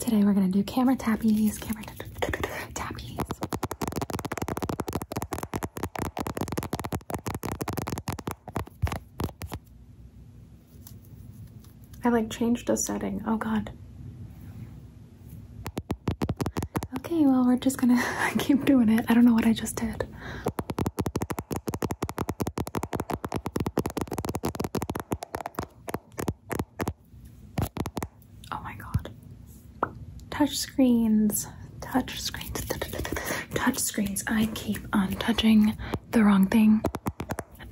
Today we're gonna do camera tappies, camera tappies. I like changed the setting. Oh god. Okay, well we're just gonna keep doing it. I don't know what I just did. Oh my god. Touch screens. Touch screens. Touch screens. I keep on touching the wrong thing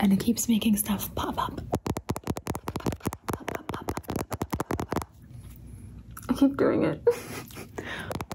and it keeps making stuff pop up. I keep doing it.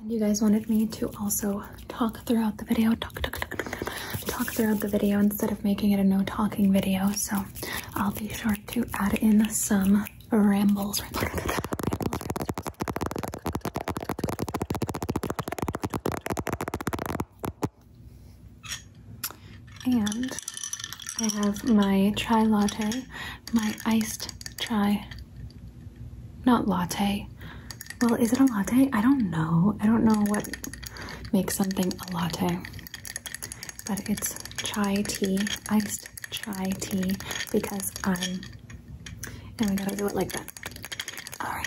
And you guys wanted me to also talk throughout the video, talk, talk, talk, throughout the video instead of making it a no talking video. So I'll be sure to add in some rambles. And I have my chai latte my iced chai. Not latte. Well, is it a latte? I don't know. I don't know what makes something a latte. But it's chai tea, iced chai tea, because I'm. And we gotta do it like that. Alright.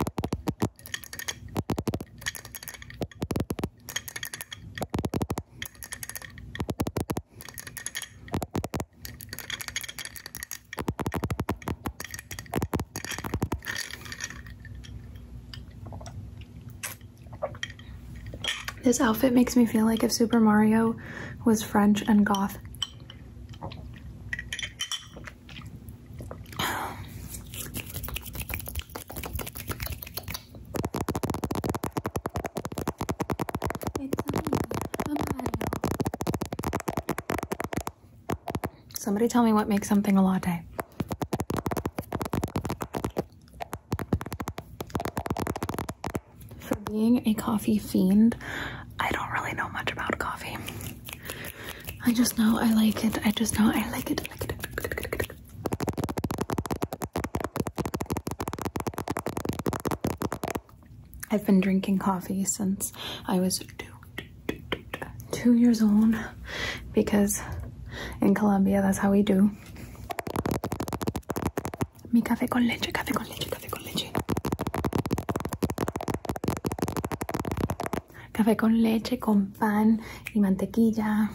This outfit makes me feel like if Super Mario was French and goth. Somebody tell me what makes something a latte. For being a coffee fiend, I don't really know much about coffee. I just know I like it. I just know I like it. I like it. I've been drinking coffee since I was two, years old because in Colombia that's how we do. Mi café con leche, café con leche, café con leche. Café con leche, con pan y mantequilla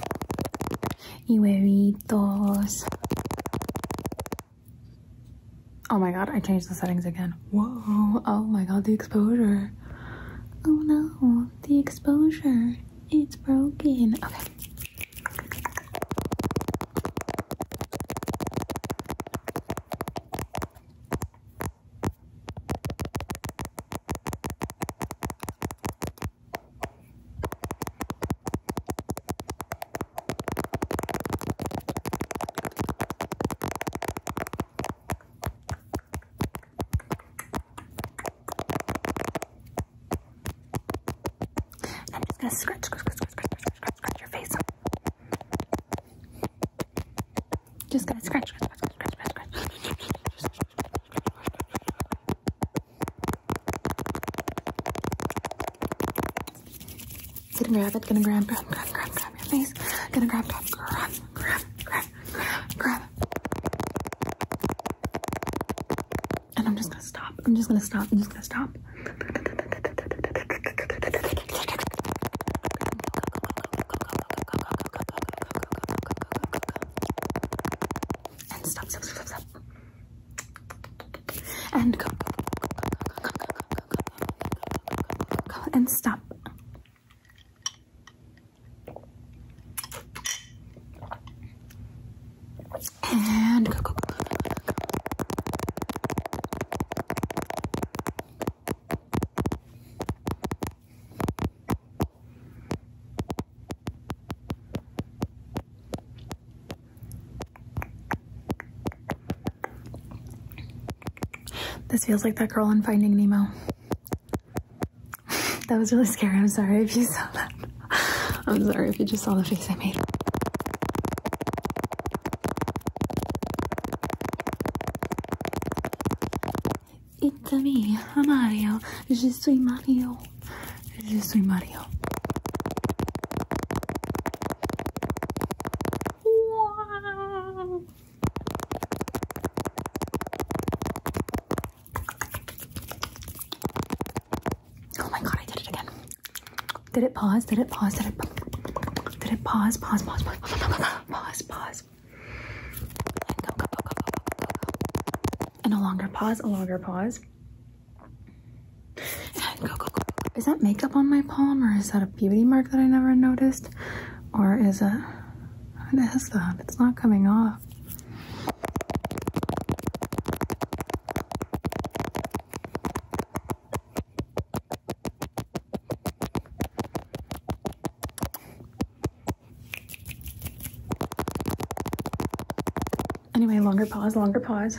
y huevitos. Oh my god, I changed the settings again. Whoa, oh my god, the exposure. Oh no, the exposure. It's broken. Okay. And I'm just gonna scratch, scratch, scratch, scratch, scratch, scratch, scratch your face. Just gonna scratch, scratch, scratch, scratch, scratch, scratch. Gonna grab it, gonna grab, grab, grab, grab, grab your face. Gonna grab, grab, grab, grab, grab, grab, And I'm just gonna stop. I'm just gonna stop. I'm just gonna stop. And stop, stop, stop, stop and go and stop. And go, go, go, go, go, go, go. This feels like that girl in Finding Nemo. that was really scary. I'm sorry if you saw that. I'm sorry if you just saw the face I made. It's me, I'm Mario. Je Mario. Yo soy Mario. Oh my god, I did it again. Did it pause? Did it pause? Did it Did it pause? Pause, pause, pause. Pause, pause. And go, go, go, go, go, go, go. And a longer pause, a longer pause. Is that makeup on my palm or is that a beauty mark that I never noticed? Or is it, what is that? It's not coming off. Anyway, longer pause, longer pause.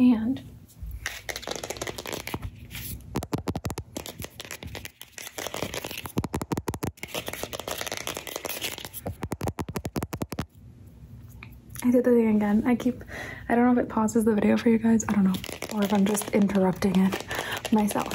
and I did the thing again. I keep, I don't know if it pauses the video for you guys. I don't know. Or if I'm just interrupting it myself.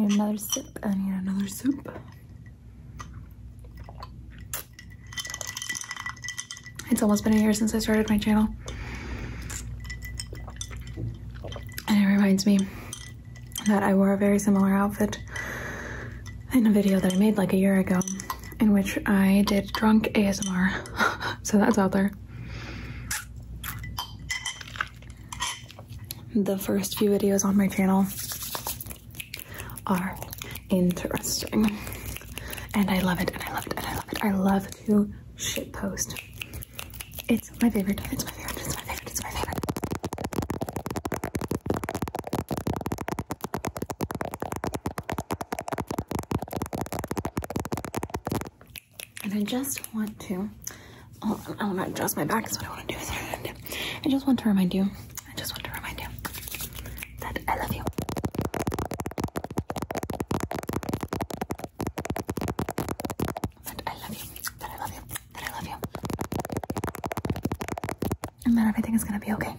I need another sip. I need another sip. It's almost been a year since I started my channel. And it reminds me that I wore a very similar outfit in a video that I made like a year ago in which I did drunk ASMR. so that's out there. The first few videos on my channel are interesting. And I love it, and I love it, and I love it. I love to shit post. It's my favorite, it's my favorite, it's my favorite, it's my favorite. And I just want to, I want to adjust my back is what I want to do. I just want to remind you, I just want to remind you that I love you. That I love you, that I love you, that I love you. And that everything is going to be okay.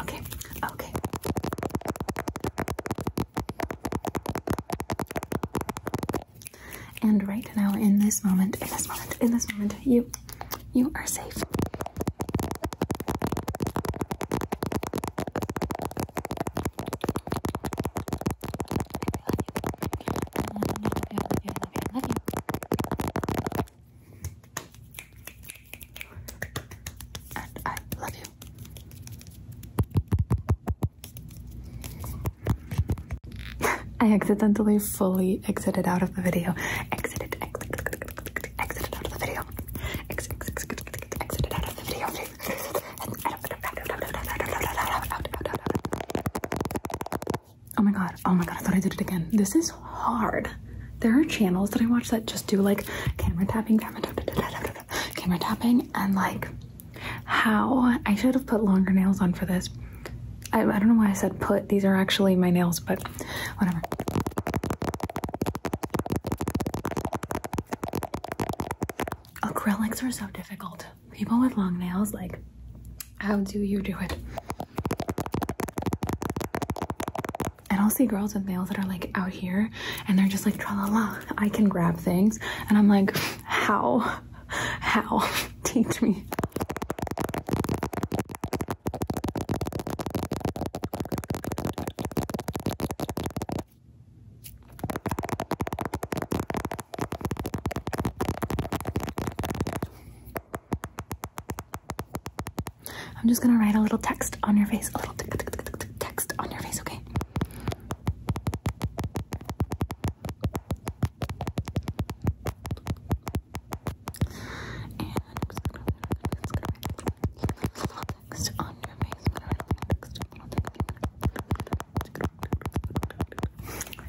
Okay, okay. And right now, in this moment, in this moment, in this moment, you, you are safe. I accidentally fully exited out of the video. Exited, exited, out of the video. Exited, exited, out of the video. Oh my god, oh my god, I thought I did it again. This is hard. There are channels that I watch that just do like camera tapping camera tapping and like how I should have put longer nails on for this. I, don't know why I said put, these are actually my nails, but whatever. Acrylics are so difficult. People with long nails, like, how do you do it? and I'll see girls with nails that are like out here and they're just like, tra la la, I can grab things. And I'm like, how? How? Teach me. I'm just gonna write a little text on your face, a little text on your face, okay? text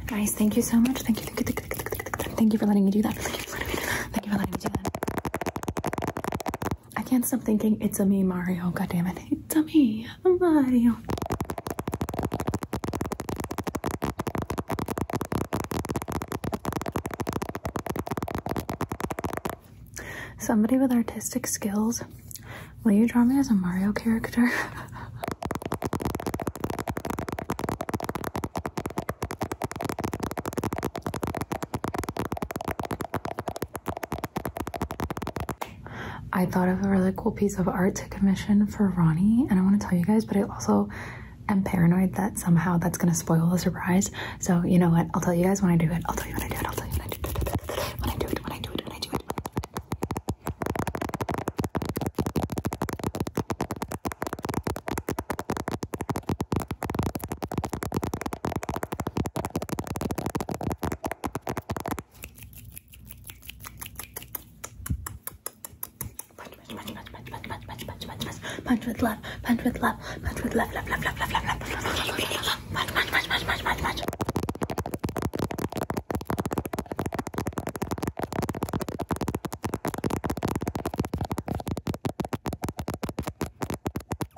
Guys, thank you so much. Thank you, thank you, Thank you for letting me do that. Thank you for letting me do that. I can't stop thinking it's a me Mario. God damn it. It's a me Mario. Somebody with artistic skills. Will you draw me as a Mario character? I thought of a really cool piece of art to commission for Ronnie, and I want to tell you guys, but I also am paranoid that somehow that's going to spoil the surprise. So, you know what? I'll tell you guys when I do it. I'll tell you when I do it. I'll tell you when I do it. When I do it, when I do it, when I do it. Punch, punch, punch, punch, punch, punch, punch, punch, punch, punch, punch with love, punch with love, punch with love, love, love, love, love, love, love, punch, punch, punch, punch, punch, punch, punch oh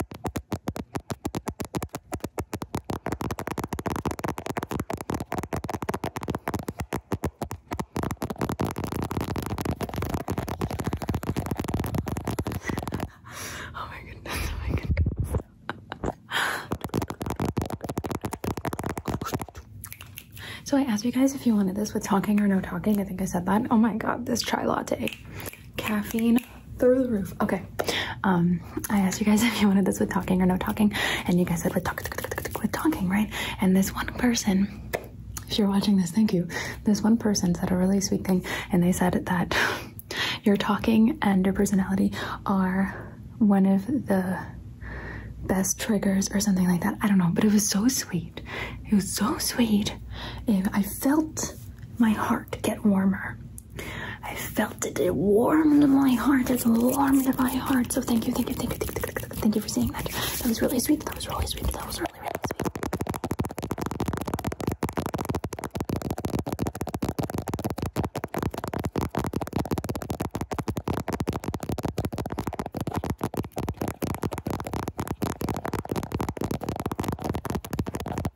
my goodness, oh my goodness. so I asked you guys if you wanted this with talking or no talking. I think I said that. Oh my god, this chai latte caffeine through the roof. Okay. Um, I asked you guys if you wanted this with talking or no talking, and you guys said with, talk, with talking, right? And this one person, if you're watching this, thank you. This one person said a really sweet thing, and they said that you're talking and your personality are one of the best triggers or something like that. I don't know, but it was so sweet. It was so sweet. And I felt my heart get warmer I felt it. It warmed my heart. It warmed my heart. So thank you, thank you, thank you, thank you, thank you, for saying that. That was really sweet. That was really sweet. That was really, really sweet.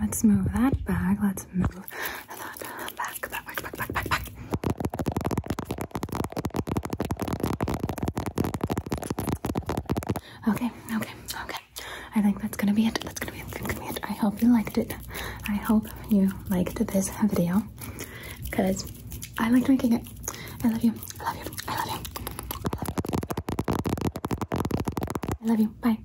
Let's move that bag. Let's move that back, back, back, Okay, okay, okay. I think that's gonna be it. That's gonna be it. That's gonna be it. I hope you liked it. I hope you liked this video because I liked making it. I love you. I love you. I love you. I love you. Bye.